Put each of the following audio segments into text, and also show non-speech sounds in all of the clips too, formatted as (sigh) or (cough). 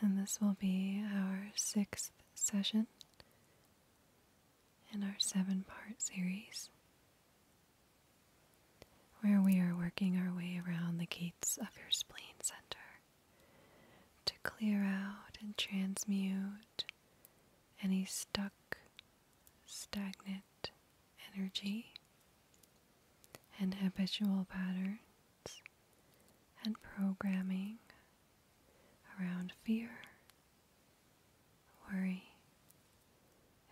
And this will be our sixth session in our seven part series where we are working our way around the gates of your spleen center to clear out and transmute any stuck, stagnant energy and habitual pattern and programming around fear, worry,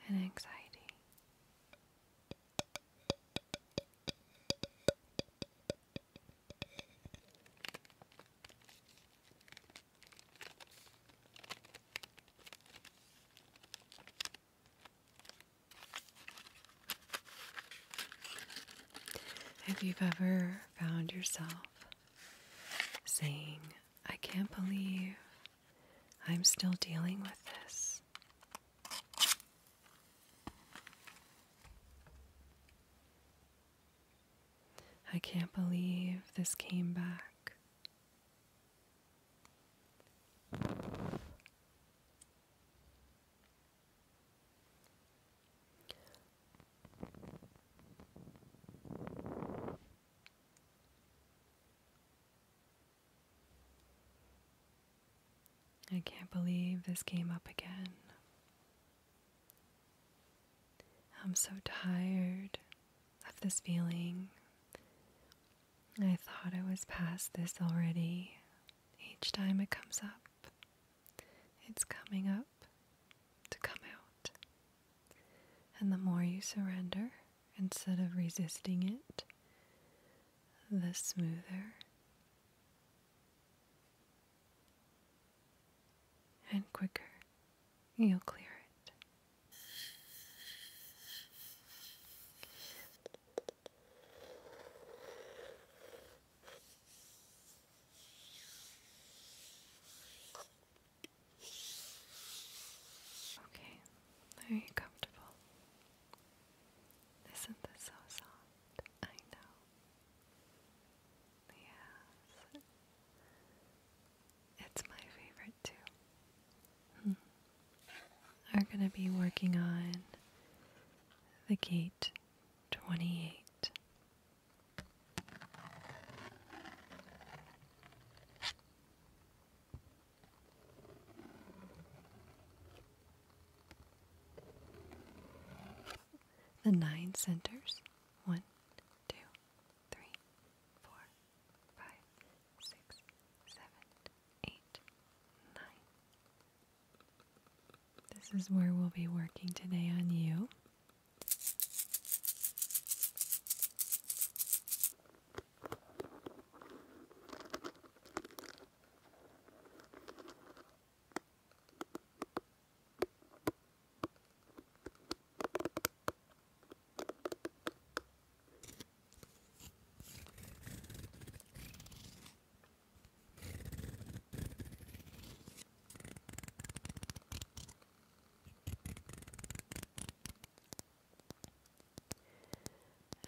and anxiety. If you've ever found yourself saying, I can't believe I'm still dealing with this. I can't believe this came back. I can't believe this came up again. I'm so tired of this feeling. I thought I was past this already. Each time it comes up, it's coming up to come out. And the more you surrender instead of resisting it, the smoother and quicker you'll clear it. Okay, are you comfortable? Isn't this so soft? I know. Yes. It's my favorite too. Hmm. We're going to be working on the gate 28. The nine centers one, two, three, four, five, six, seven, eight, nine. This is where we'll be working today on you.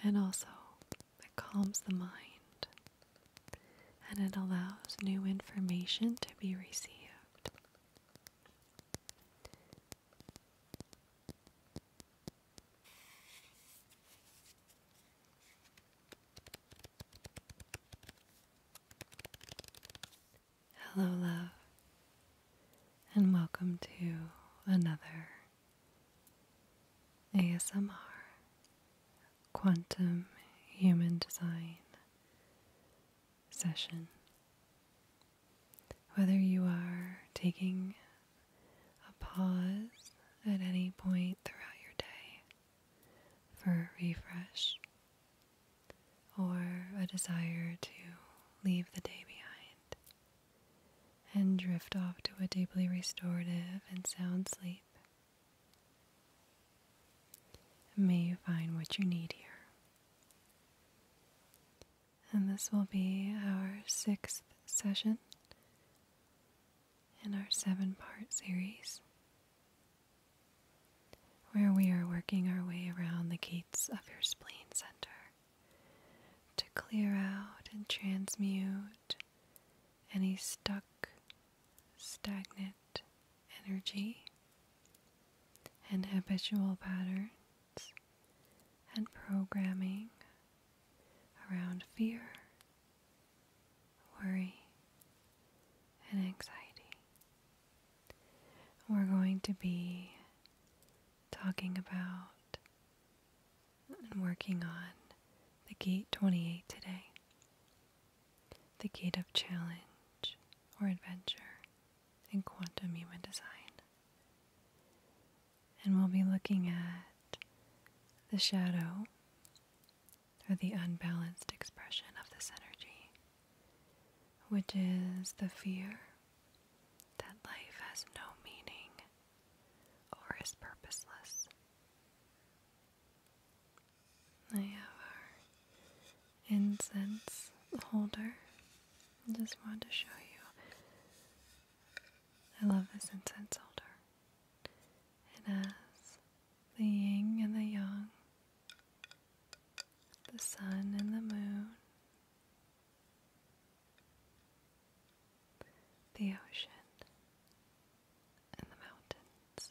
And also, it calms the mind and it allows new information to be received. Hello, love, and welcome to another ASMR Quantum Human Design session. Whether you are taking a pause at any point throughout your day for a refresh or a desire to leave the day behind and drift off to a deeply restorative and sound sleep. May you find what you need here. And this will be our sixth session in our seven part series, where we are working our way around the gates of your spleen center to clear out and transmute any stuck, stagnant energy and habitual patterns and programming around fear worry, and anxiety. We're going to be talking about and working on the Gate 28 today, the Gate of Challenge or Adventure in Quantum Human Design. And we'll be looking at the shadow or the unbalanced expression of this energy, which is the fear that life has no meaning or is purposeless. I have our incense holder. I just wanted to show you. I love this incense holder. And as the yin and the yang, the sun and the moon, the ocean and the mountains.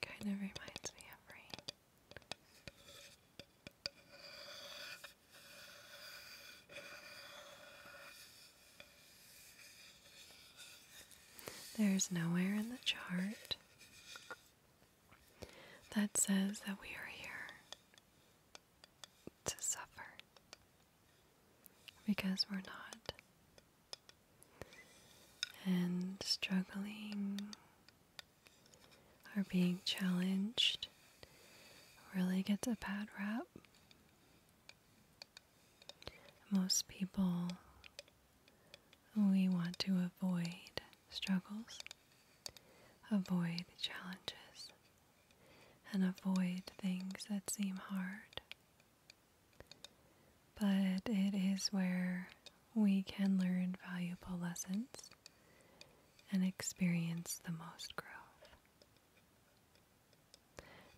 Kind of reminds me of rain. There's nowhere in the chart that says that we are here to suffer because we're not. And struggling or being challenged really gets a bad rap. Most people, we want to avoid struggles, avoid challenges, and avoid things that seem hard. But it is where we can learn valuable lessons and experience the most growth.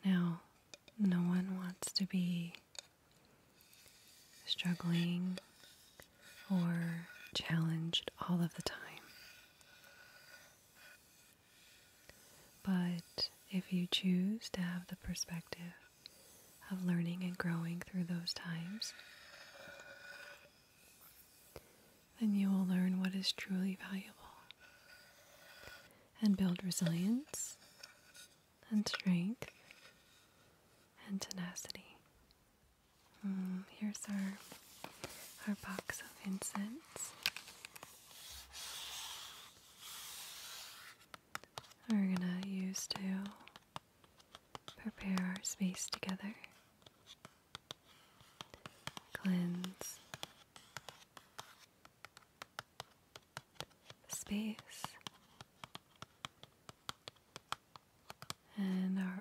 Now, no one wants to be struggling or challenged all of the time. But if you choose to have the perspective of learning and growing through those times, then you will learn what is truly valuable and build resilience and strength and tenacity. Mm, here's our our box of incense we're gonna use to prepare our space together. Cleanse space and our auras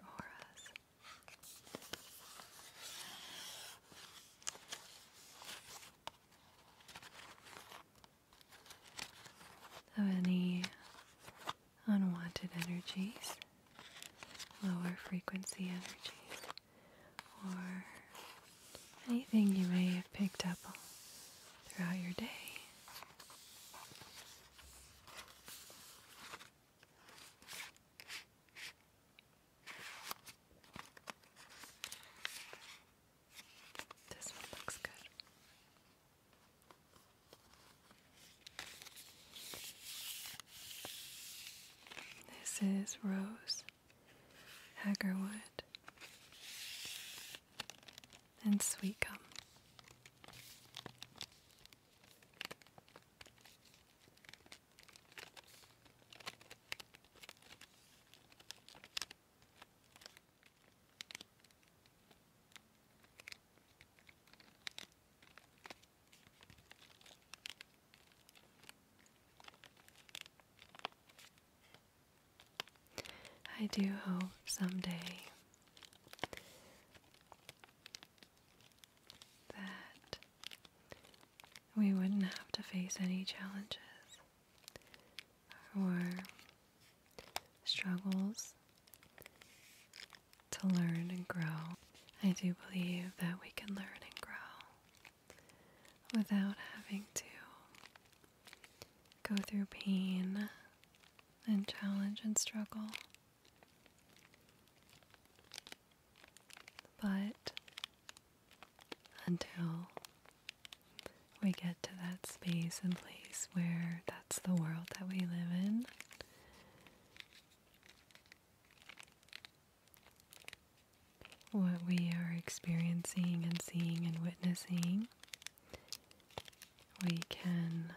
of any unwanted energies, lower frequency energies, or anything you may have picked up throughout your day. This one looks good. This is Rose Hagerwood and Sweet Gum. I do hope someday that we wouldn't have to face any challenges or struggles to learn and grow. I do believe that we can learn and grow without having to go through pain and challenge and struggle. But until we get to that space and place where that's the world that we live in, what we are experiencing and seeing and witnessing, we can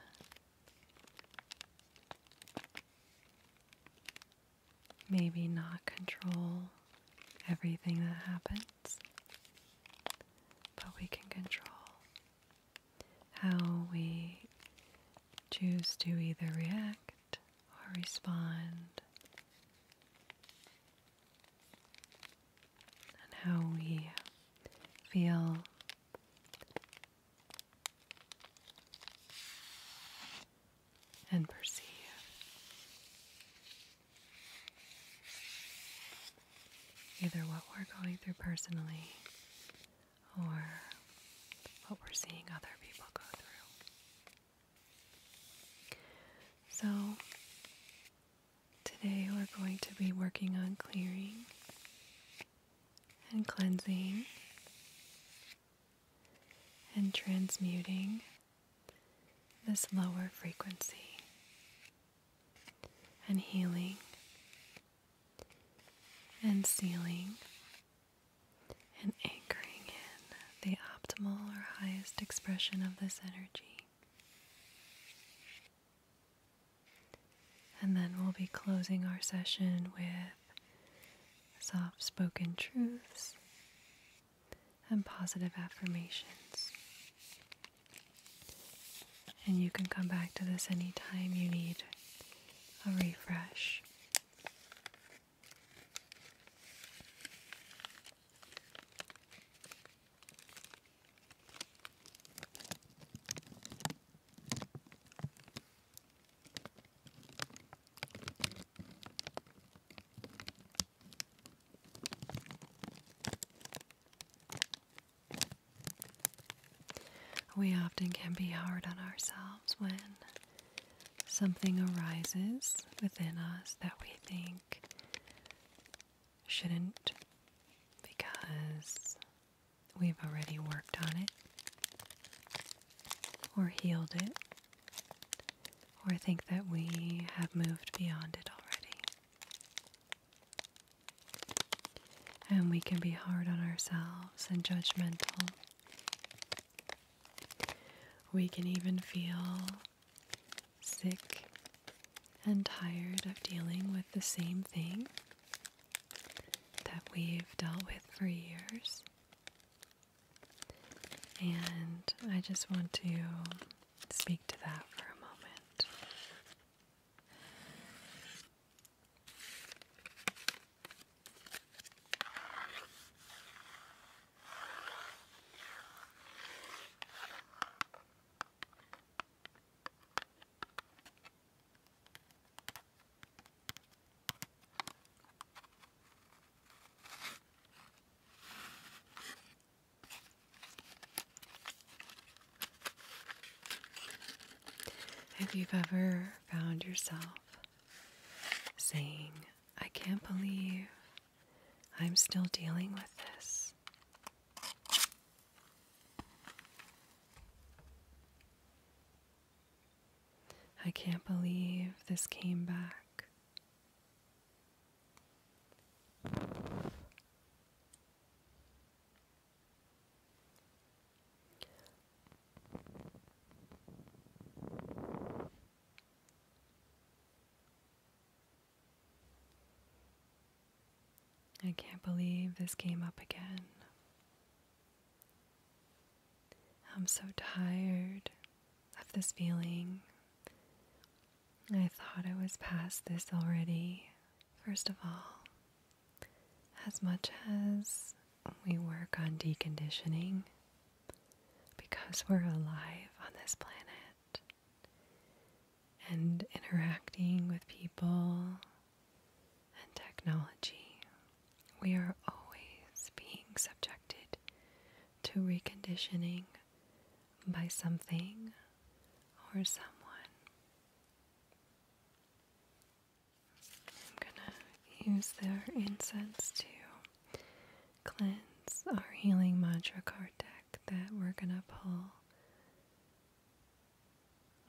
maybe not control everything that happens, but we can control how we choose to either react or respond, and how we feel and perceive. Either what we're going through personally or what we're seeing other people go through. So, today we're going to be working on clearing and cleansing and transmuting this lower frequency and healing and sealing and anchoring in the optimal or highest expression of this energy. And then we'll be closing our session with soft spoken truths and positive affirmations. And you can come back to this anytime you need a refresh. We often can be hard on ourselves when something arises within us that we think shouldn't because we've already worked on it or healed it or think that we have moved beyond it already. And we can be hard on ourselves and judgmental. We can even feel sick and tired of dealing with the same thing that we've dealt with for years. And I just want to speak to that for a moment. If you've ever found yourself saying, I can't believe I'm still dealing with this. I can't believe this came back. I can't believe this came up again. I'm so tired of this feeling. I thought I was past this already, first of all. As much as we work on deconditioning, because we're alive on this planet and interacting with people and technology, we are always being subjected to reconditioning by something or someone. I'm gonna use their incense to cleanse our healing mantra card deck that we're gonna pull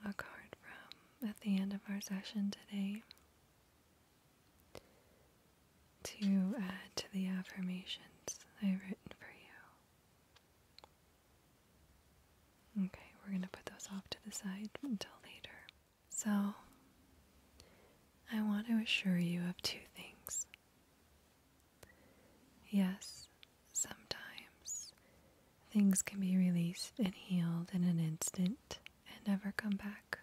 a card from at the end of our session today to add to the affirmations I've written for you. Okay, we're going to put those off to the side until later. So, I want to assure you of two things. Yes, sometimes things can be released and healed in an instant and never come back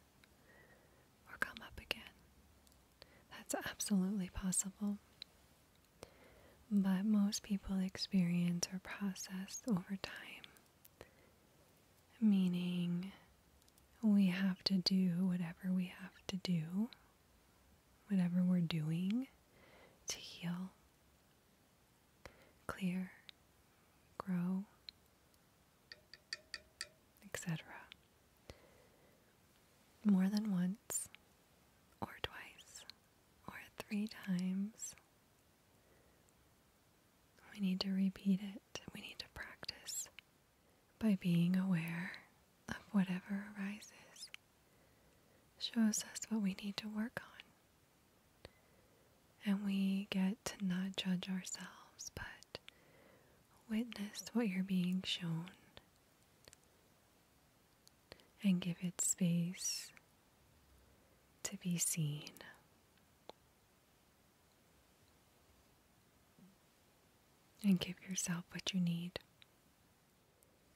or come up again. That's absolutely possible. But most people experience or process over time, meaning we have to do whatever we have to do, whatever we're doing to heal, clear, grow, etc. More than once, or twice, or three times. We need to repeat it. We need to practice by being aware of whatever arises, shows us what we need to work on, and we get to not judge ourselves, but witness what you're being shown and give it space to be seen. And give yourself what you need.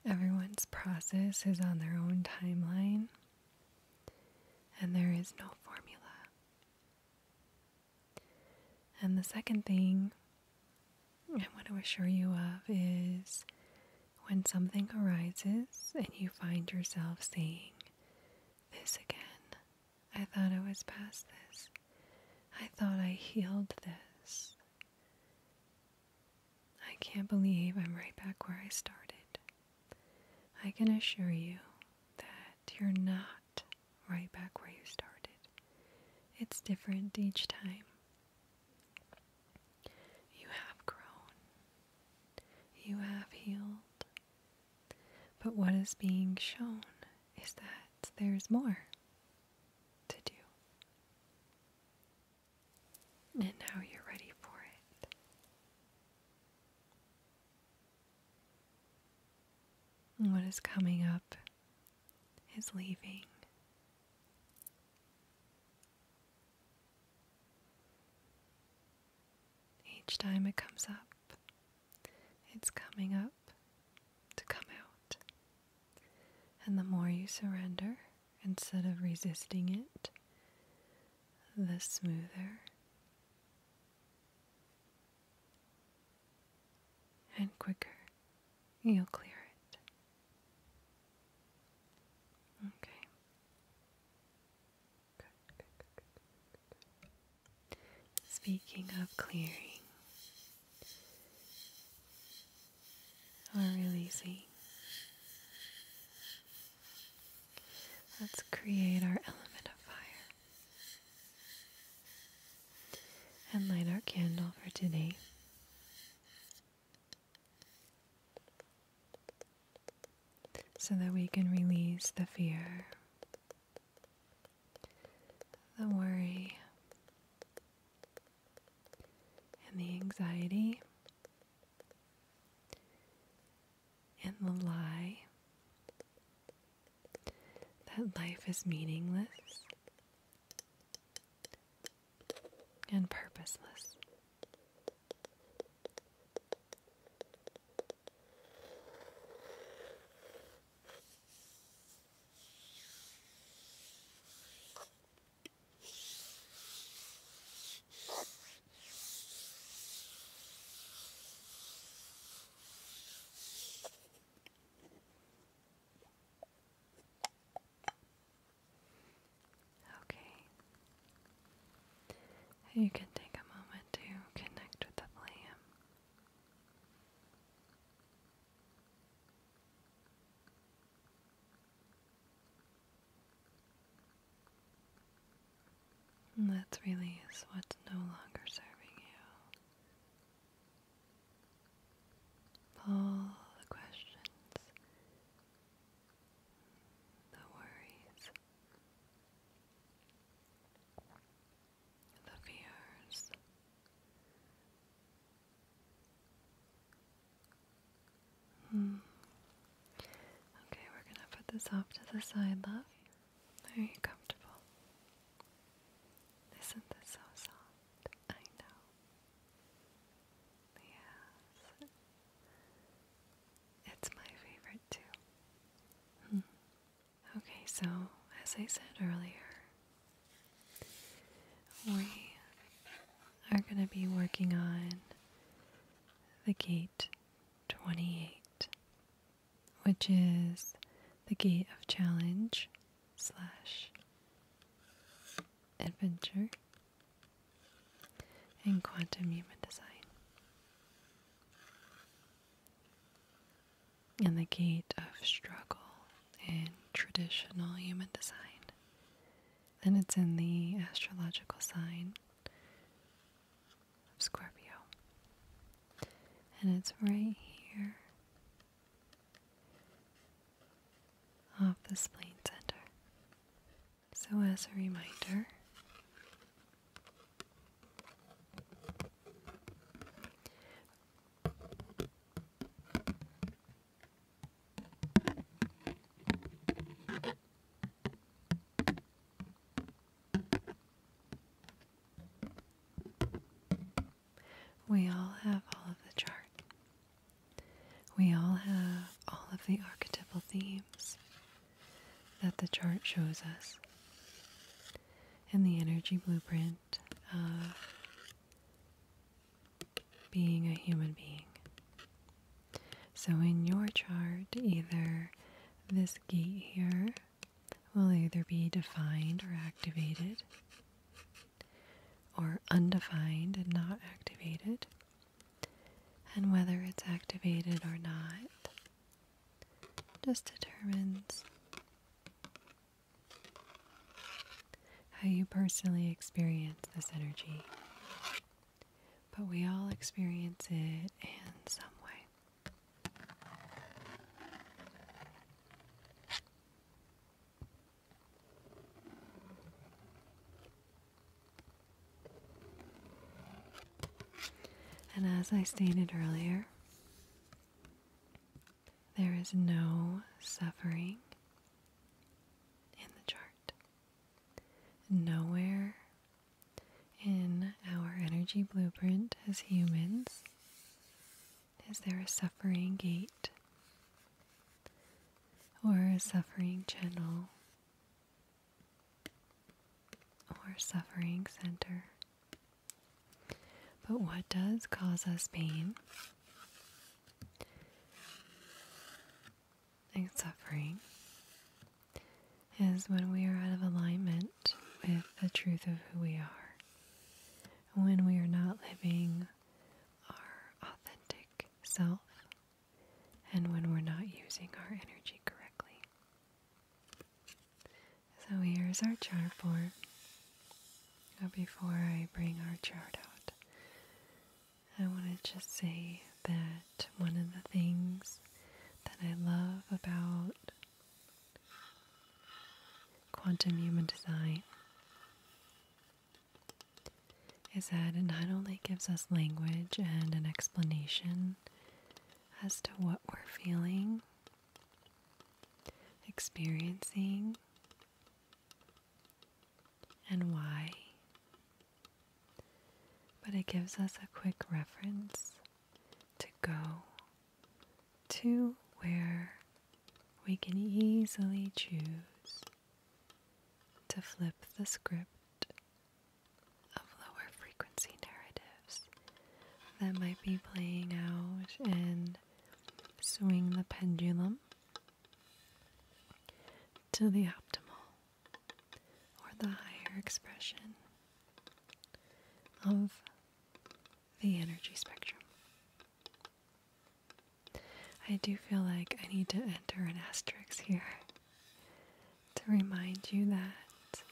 Everyone's process is on their own timeline, and there is no formula. And the second thing I want to assure you of is when something arises and you find yourself saying, This again, I thought I was past this, I thought I healed this. I can't believe I'm right back where I started. I can assure you that you're not right back where you started. It's different each time. You have grown. You have healed. But what is being shown is that there's more to do. And now you're ready for it what is coming up is leaving. Each time it comes up, it's coming up to come out. And the more you surrender, instead of resisting it, the smoother and quicker you'll clear it. Okay. Speaking of clearing or releasing, let's create our element of fire and light our candle for today. So that we can release the fear, the worry, and the anxiety and the lie that life is meaningless and purposeless. Okay. You can take a moment to connect with the flame. Let's release what's no longer serving you. All the questions, the worries, the fears. Hmm. Okay, we're going to put this off to the side, love. Are you comfortable? Isn't this so soft? I know. Yes. It's my favorite too. Hmm. Okay, so as I said earlier, we are going to be working on the gate 28 which is the gate of challenge slash adventure and quantum human design. And the gate of struggle in traditional human design. Then it's in the astrological sign Scorpio. And it's right here off the spleen center. So, as a reminder, we all have all of the chart. We all have all of the archetypal themes that the chart shows us. And the energy blueprint of being a human being. So in your chart, either this gate here will either be defined or activated, or undefined and not activated. And whether it's activated or not just determines how you personally experience this energy. But we all experience it in some way. And as I stated earlier, there is no suffering in the chart. Nowhere in our energy blueprint as humans? Is there a suffering gate or a suffering channel or suffering center? But what does cause us pain and suffering is when we are out of alignment with the truth of who we are, when we are not living our authentic self, and when we're not using our energy correctly. So here's our chart for. Now before I bring our chart out, I want to just say that one of the things that I love about Quantum human design is that it not only gives us language and an explanation as to what we're feeling, experiencing, and why, but it gives us a quick reference to go to where we can easily choose to flip the script of lower frequency narratives that might be playing out and swing the pendulum to the optimal or the higher expression of the energy spectrum. I do feel like I need to enter an asterisk here to remind you that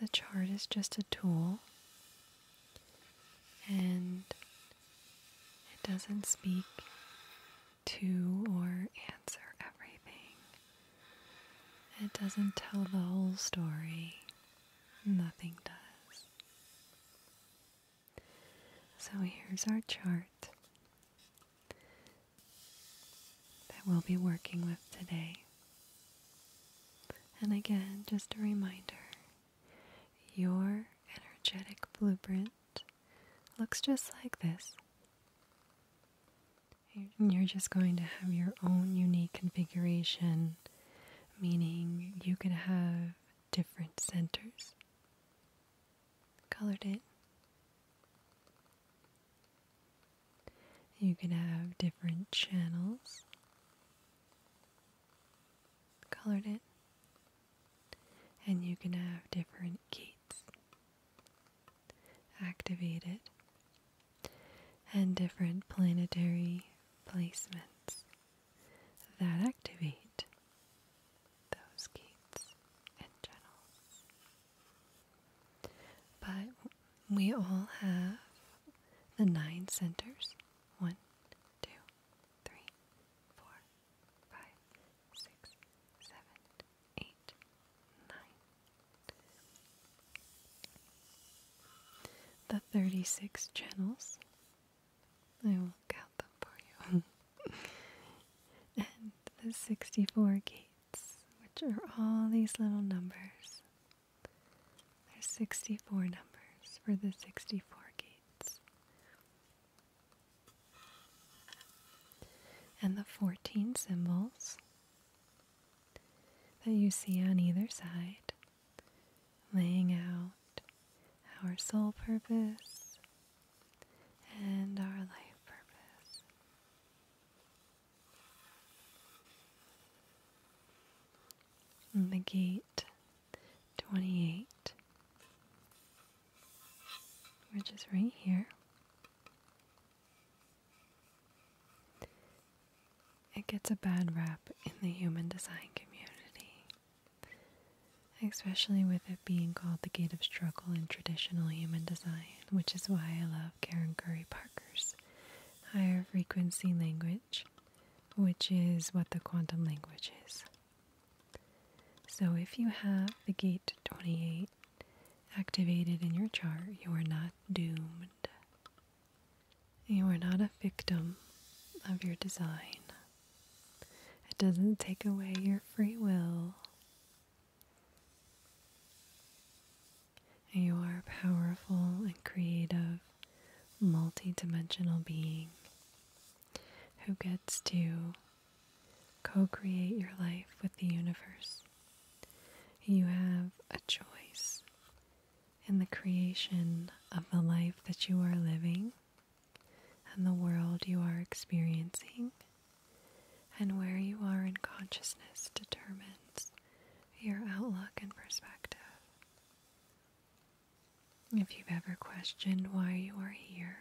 the chart is just a tool and it doesn't speak to or answer everything it doesn't tell the whole story. Nothing does. So here's our chart that we'll be working with today. And again, just a reminder your energetic blueprint looks just like this you're just going to have your own unique configuration, meaning you could have different centers. Colored it. You can have different channels. Colored it. And you can have different gates activated and different planetary placements that activate those gates and channels. But we all have the nine centers one, two, three, four, five, six, seven, eight, nine. The 36 channels. I will count them for you. (laughs) and the 64 gates, which are all these little numbers. There's 64 numbers for the 64 gates. And the 14 symbols, that you see on either side, laying out our soul purpose and our life purpose. And the gate 28, which is right here. It gets a bad rap in the human design community, especially with it being called the gate of struggle in traditional human design, which is why I love Karen Curry Parker's higher frequency language, which is what the quantum language is. So if you have the gate 28, activated in your chart, you are not doomed. You are not a victim of your design. It doesn't take away your free will. You are a powerful and creative, multidimensional being who gets to co create your life with the universe. You have a choice in the creation of the life that you are living and the world you are experiencing, and where you are in consciousness determines your outlook and perspective. If you've ever questioned why you are here,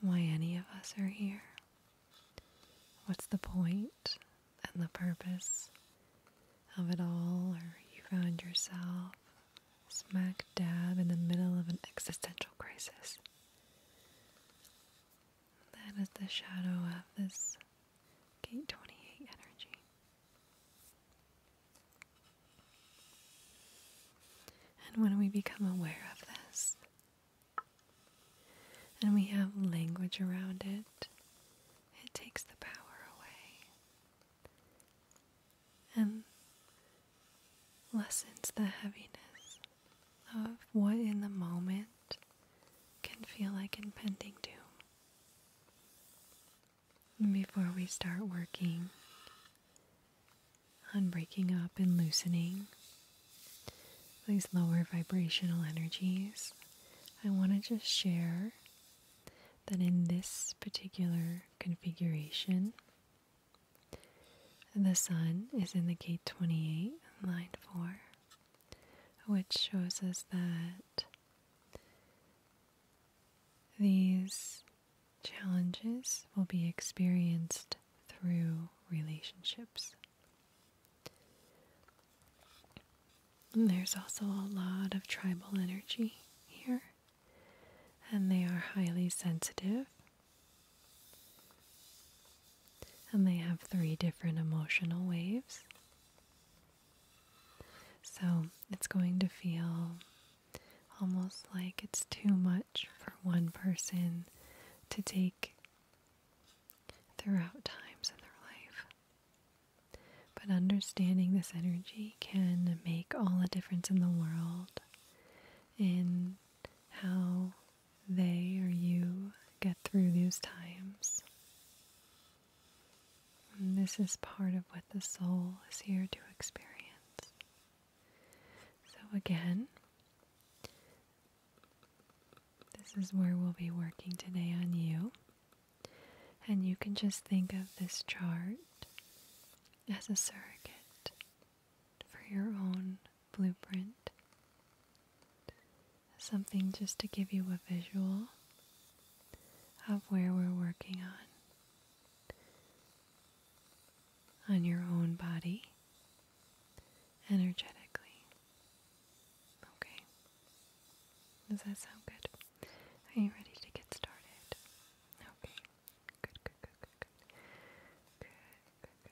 why any of us are here. What's the point and the purpose of it all? Or you found yourself smack dab in the middle of an existential crisis. That is the shadow of this Gate 28 energy. And when we become aware of this, and we have language around it, it takes the power away and lessens the heaviness of what in the moment can feel like impending doom. before we start working on breaking up and loosening these lower vibrational energies, I want to just share that in this particular configuration, the sun is in the gate 28, line 4, which shows us that these Challenges will be experienced through relationships. there's also a lot of tribal energy here, and they are highly sensitive. And they have three different emotional waves. So it's going to feel almost like it's too much for one person to take throughout times in their life. But understanding this energy can make all the difference in the world in how they or you get through these times. this is part of what the soul is here to experience. So again, this is where we'll be working today on you. And you can just think of this chart as a surrogate for your own blueprint. Something just to give you a visual of where we're working on on your own body energetically. Okay. Does that sound good? Are you ready to get started? Okay. Good, good, good, good, good. Good,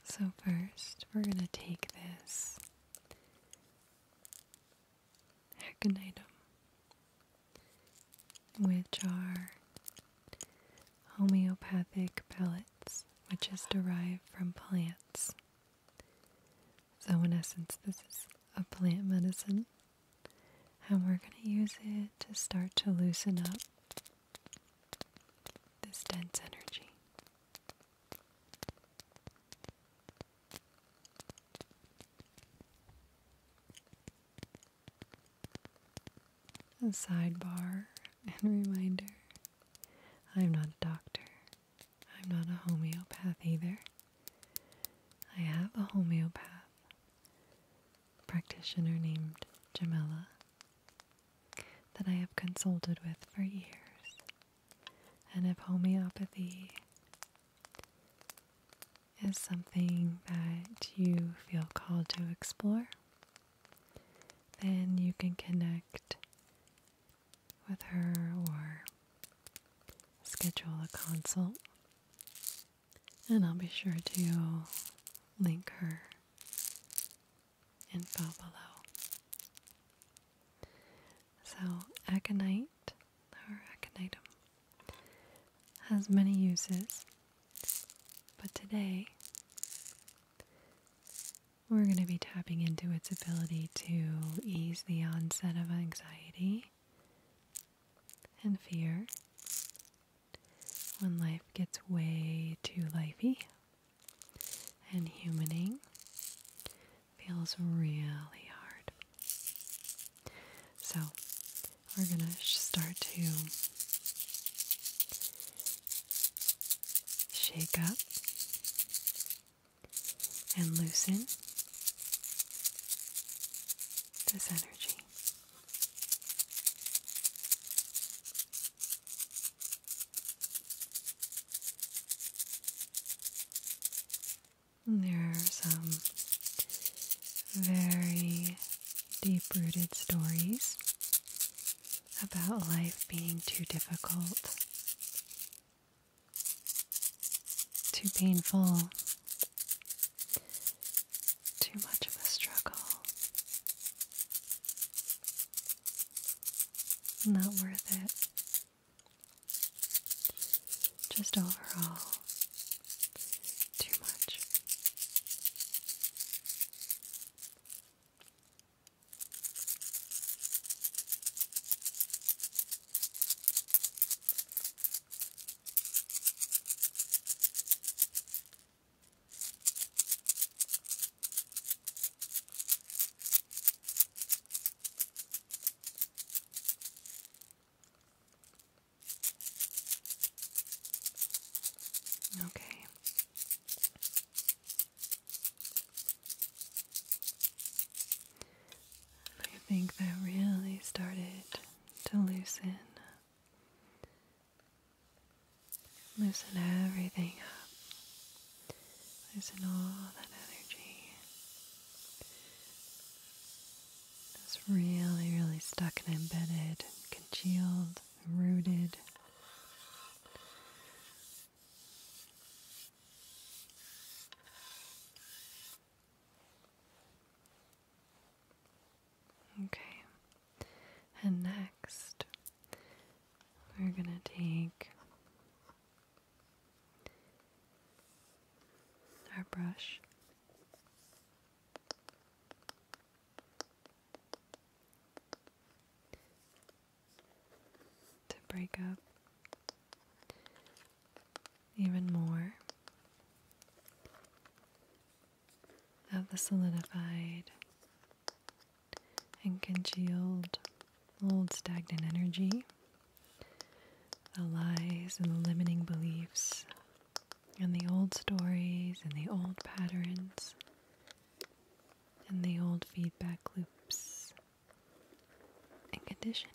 good, So, first, we're going to take this aconitum, which are homeopathic pellets, which is derived from plants. So, in essence, this is a plant medicine, and we're going to use it to start to loosen up this dense energy. A sidebar and reminder I'm not a doctor. I'm not a homeopath either. I have a homeopath practitioner named Jamila that I have consulted with for years. And if homeopathy is something that you feel called to explore, then you can connect with her or schedule a consult. And I'll be sure to link her info below. So, aconite or has many uses, but today we're going to be tapping into its ability to ease the onset of anxiety and fear when life gets way too lifey and humaning feels really hard. So, we're going to start to shake up and loosen this energy. There are some very deep rooted stories about life being too difficult, too painful, too much of a struggle, not worth it. Just overall, too much. Okay. I think that really started to loosen. Loosen everything up. Loosen all that energy. It's really, really stuck and embedded, congealed, rooted. Okay, and next we're going to take our brush. To break up even more of the solidified and congealed old stagnant energy the lies and the limiting beliefs, and the old stories, and the old patterns, and the old feedback loops, and conditioning.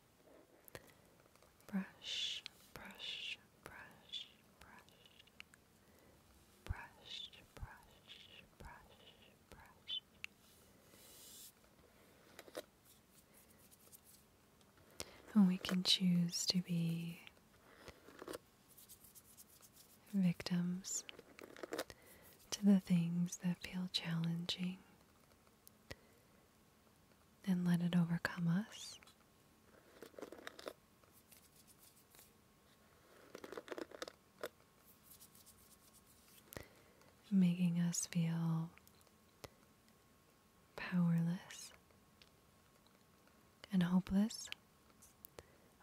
Brush, brush, brush, brush. Brush, brush, brush, brush. And we can choose to be victims to the things that feel challenging and let it overcome us. Making us feel powerless and hopeless,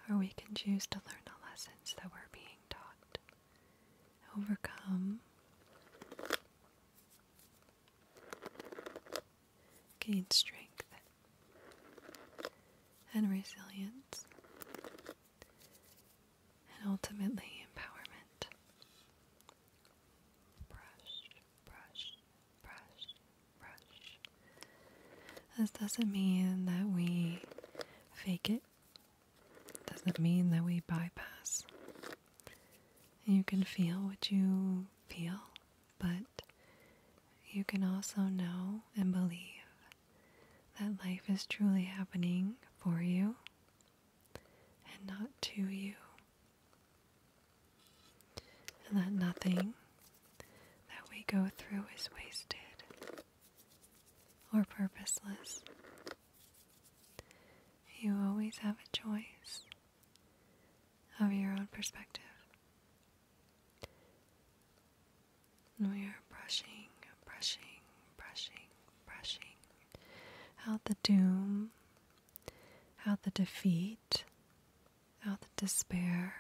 or we can choose to learn the lessons that we're being taught, overcome Gain strength and resilience, and ultimately empowerment. This doesn't mean that we fake it. Doesn't mean that we bypass you can feel what you feel, but you can also know and believe that life is truly happening for you and not to you. And that nothing that we go through is wasted or purposeless. You always have a choice of your own perspective. And we are brushing, brushing, brushing, brushing out the doom, out the defeat, out the despair.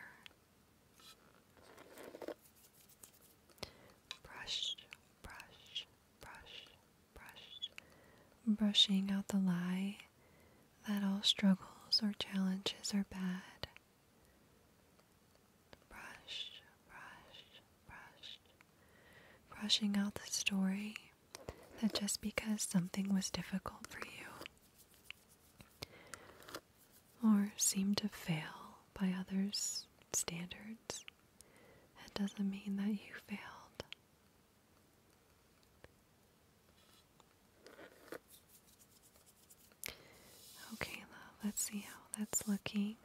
Brush, brush, brush, brush, brushing out the lie that all struggles or challenges are bad. Brush, brush, brush, brushing out the story that just because something was difficult for you or seemed to fail by others' standards, it doesn't mean that you failed. Okay, let's see how that's looking.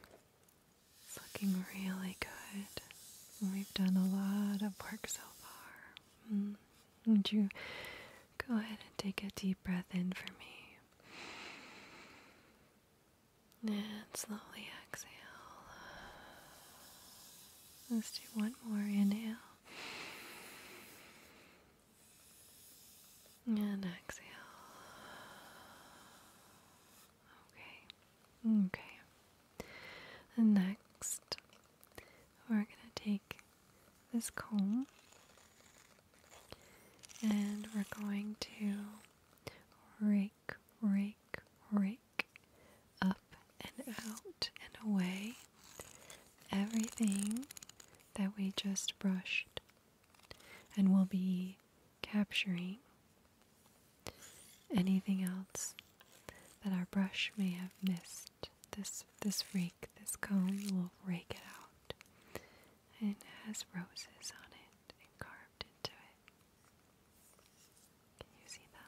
It's looking really good. We've done a lot of work so far. Hmm. Would you go ahead and take a deep breath in for me? And slowly exhale. Let's do one more inhale. And exhale. Okay. Okay. next, we're going to take this comb and we're going to rake rake, rake, up and out and away. Everything that we just brushed and we'll be capturing anything else that our brush may have missed. This this rake, this comb will rake it out. And it has roses on it and carved into it. Can you see them?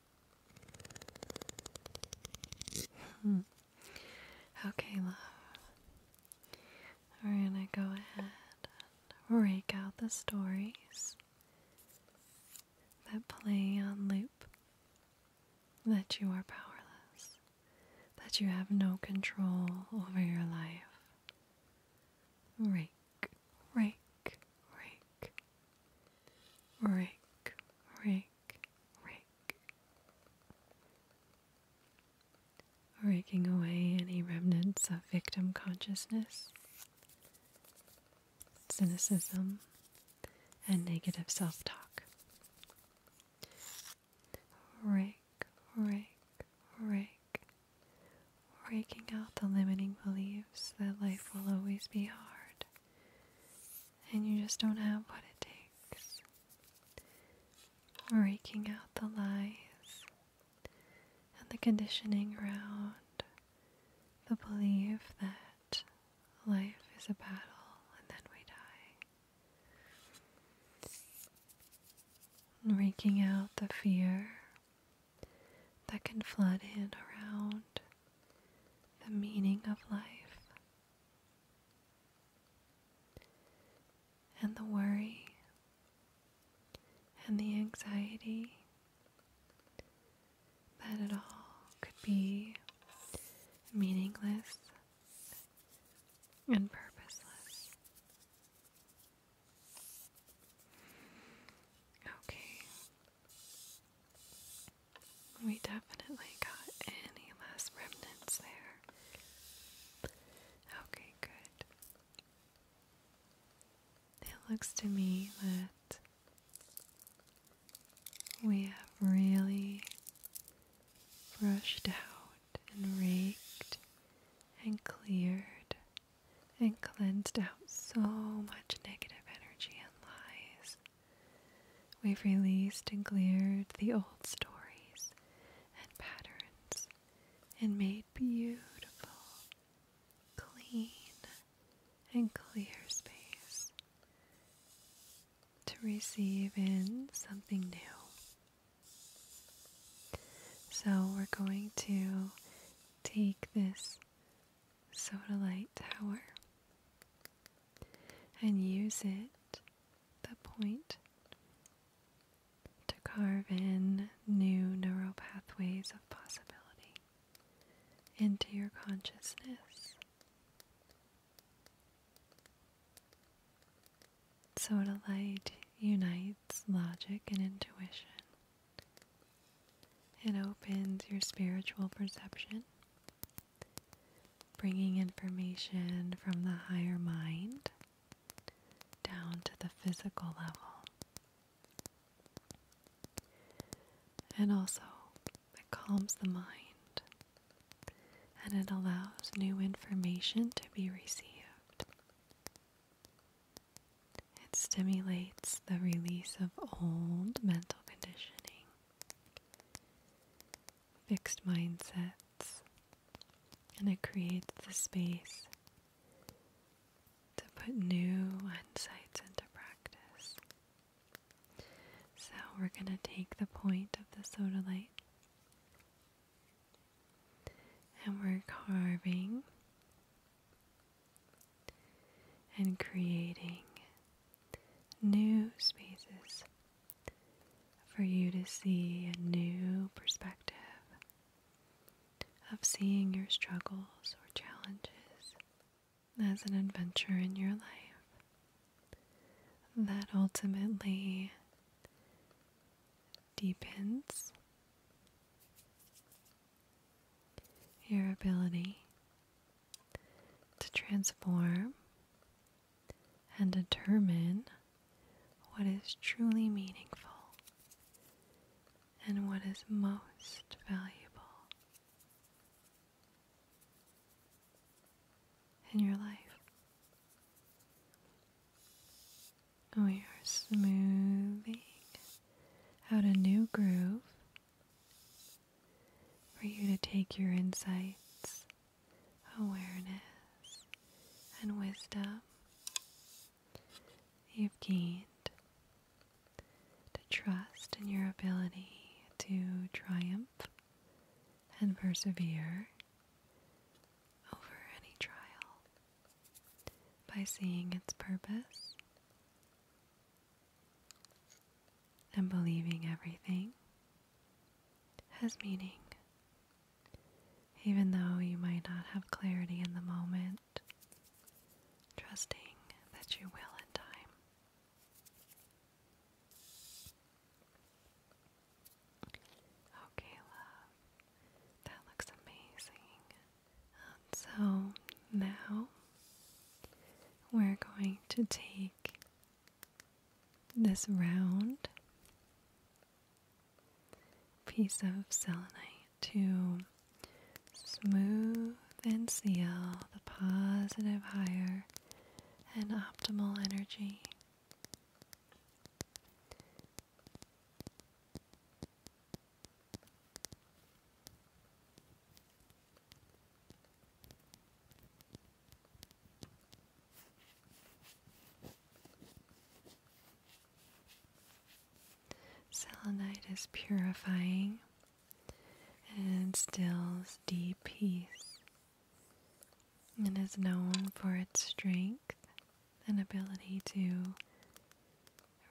Hmm. Okay, love. We're gonna go ahead and rake out the stories that play on loop that you are powerless, that you have no control over your life. Rake, rake, rake, rake, rake rake, Raking away any remnants of victim consciousness, cynicism, and negative self talk. Rake, rake, rake. Raking out the limiting beliefs that life will always be hard, and you just don't have what it takes. Raking out the lies and the conditioning around the belief that life is a battle and then we die. And raking out the fear that can flood in around the meaning of life. And the worry and the anxiety that it all could be meaningless and purposeless. Okay, we definitely got any last remnants there. Okay, good. It looks to me that we have really brushed out and raked and cleared and cleansed out so much negative energy and lies We've released and cleared the old stories and patterns and made beautiful, clean, and clear space to receive in something new. So we're going to take this soda light tower and use it, the point, to carve in new neural pathways of possibility into your consciousness. Soda light unites logic and intuition. It opens your spiritual perception bringing information from the higher mind down to the physical level. And also, it calms the mind and it allows new information to be received. It stimulates the release of old mental conditioning fixed mindsets, and it creates the space to put new insights into practice. So, we're going to take the point of the soda light and we're carving and creating new spaces for you to see a new perspective of seeing your struggles or challenges as an adventure in your life that ultimately deepens your ability to transform and determine what is truly meaningful and what is most valuable. In your life, we are smoothing out a new groove for you to take your insights, awareness, and wisdom you've gained to trust in your ability to triumph and persevere over any trial by seeing its purpose and believing everything has meaning. Even though you might not have clarity in the moment, trusting that you will in time. Okay, love. That looks amazing. so now we're going to take this round piece of selenite to smooth and seal the positive, higher, and optimal energy. Selenite is purifying and stills deep peace and is known for its strength and ability to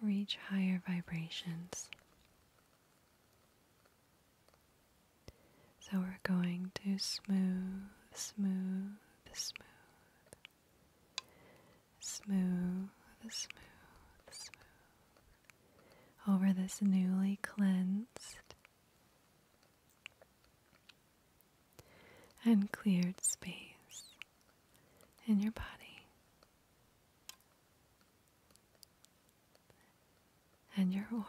reach higher vibrations. So we're going to smooth, smooth, smooth. Smooth, smooth, smooth. Over this newly cleansed and cleared space in your body and your aura.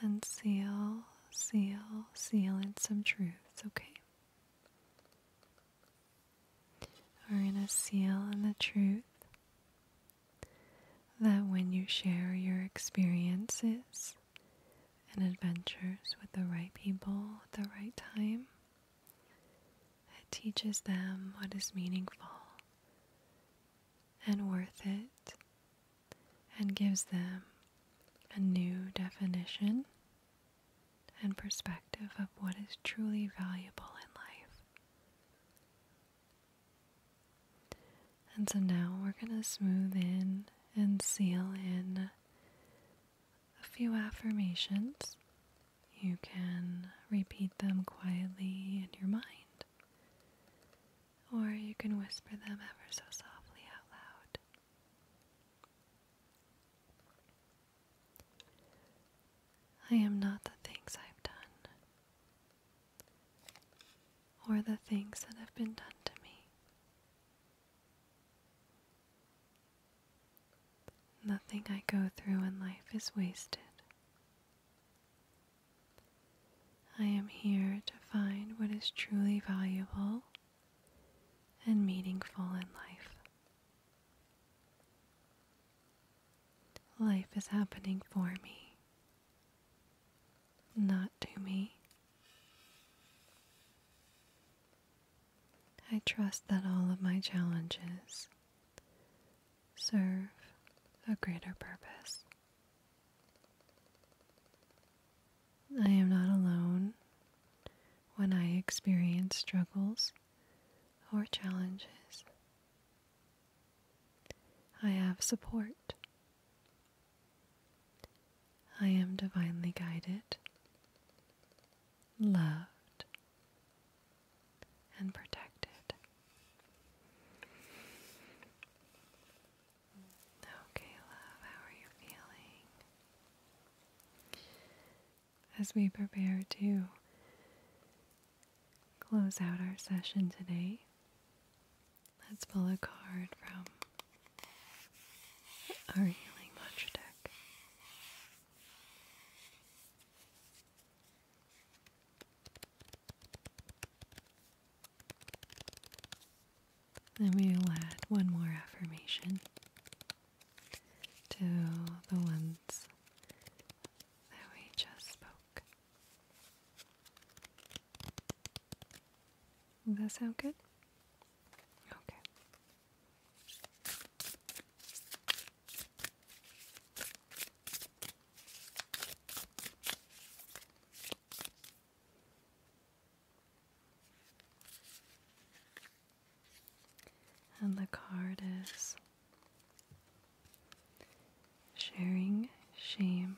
And seal, seal, seal in some truths, okay? We're going to seal in the truth that when you share your experiences and adventures with the right people at the right time, it teaches them what is meaningful and worth it and gives them a new definition and perspective of what is truly valuable in life. And so now we're going to smooth in and seal in a few affirmations you can repeat them quietly in your mind, or you can whisper them ever so softly out loud. I am not the things I've done, or the things that have been done to me. Nothing I go through in life is wasted. I am here to find what is truly valuable and meaningful in life. Life is happening for me, not to me. I trust that all of my challenges serve a greater purpose. I am not alone when I experience struggles or challenges. I have support. I am divinely guided loved, and protected. Okay, love, how are you feeling? As we prepare to close out our session today, let's pull a card from our healing mantra deck. Then we will add one more affirmation to the ones that we just spoke. Does that sound good? Okay. And the card is Sharing Shame.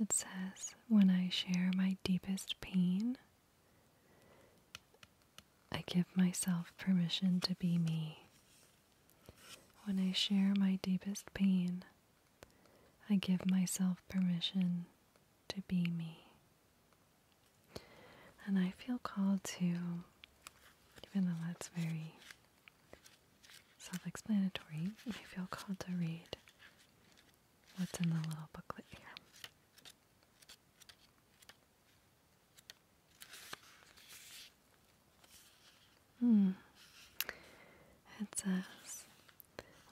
It says, When I share my deepest pain, I give myself permission to be me. When I share my deepest pain, I give myself permission to be me. And I feel called to, even though that's very self explanatory, I feel called to read what's in the little booklet here. Hmm. It says,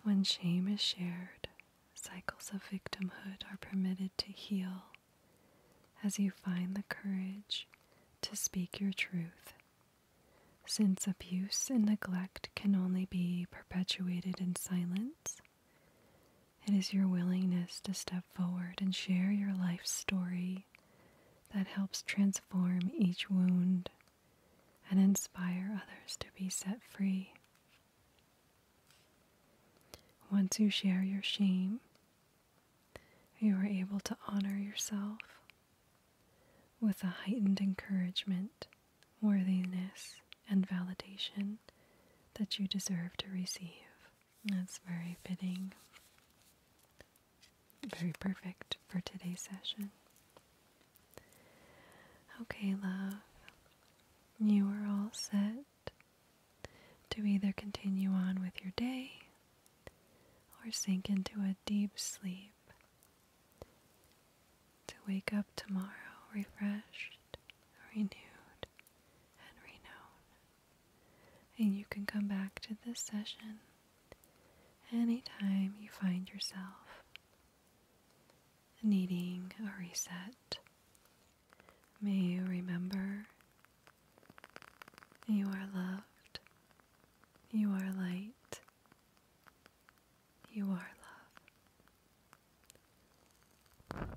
when shame is shared, cycles of victimhood are permitted to heal as you find the courage to speak your truth. Since abuse and neglect can only be perpetuated in silence, it is your willingness to step forward and share your life story that helps transform each wound and inspire others to be set free. Once you share your shame, you are able to honor yourself with a heightened encouragement, worthiness, and validation that you deserve to receive. That's very fitting. Very perfect for today's session. Okay, love. You are all set to either continue on with your day or sink into a deep sleep to wake up tomorrow refreshed, renewed, and renowned. And you can come back to this session anytime you find yourself needing a reset. May you remember you are loved, you are light, you are love.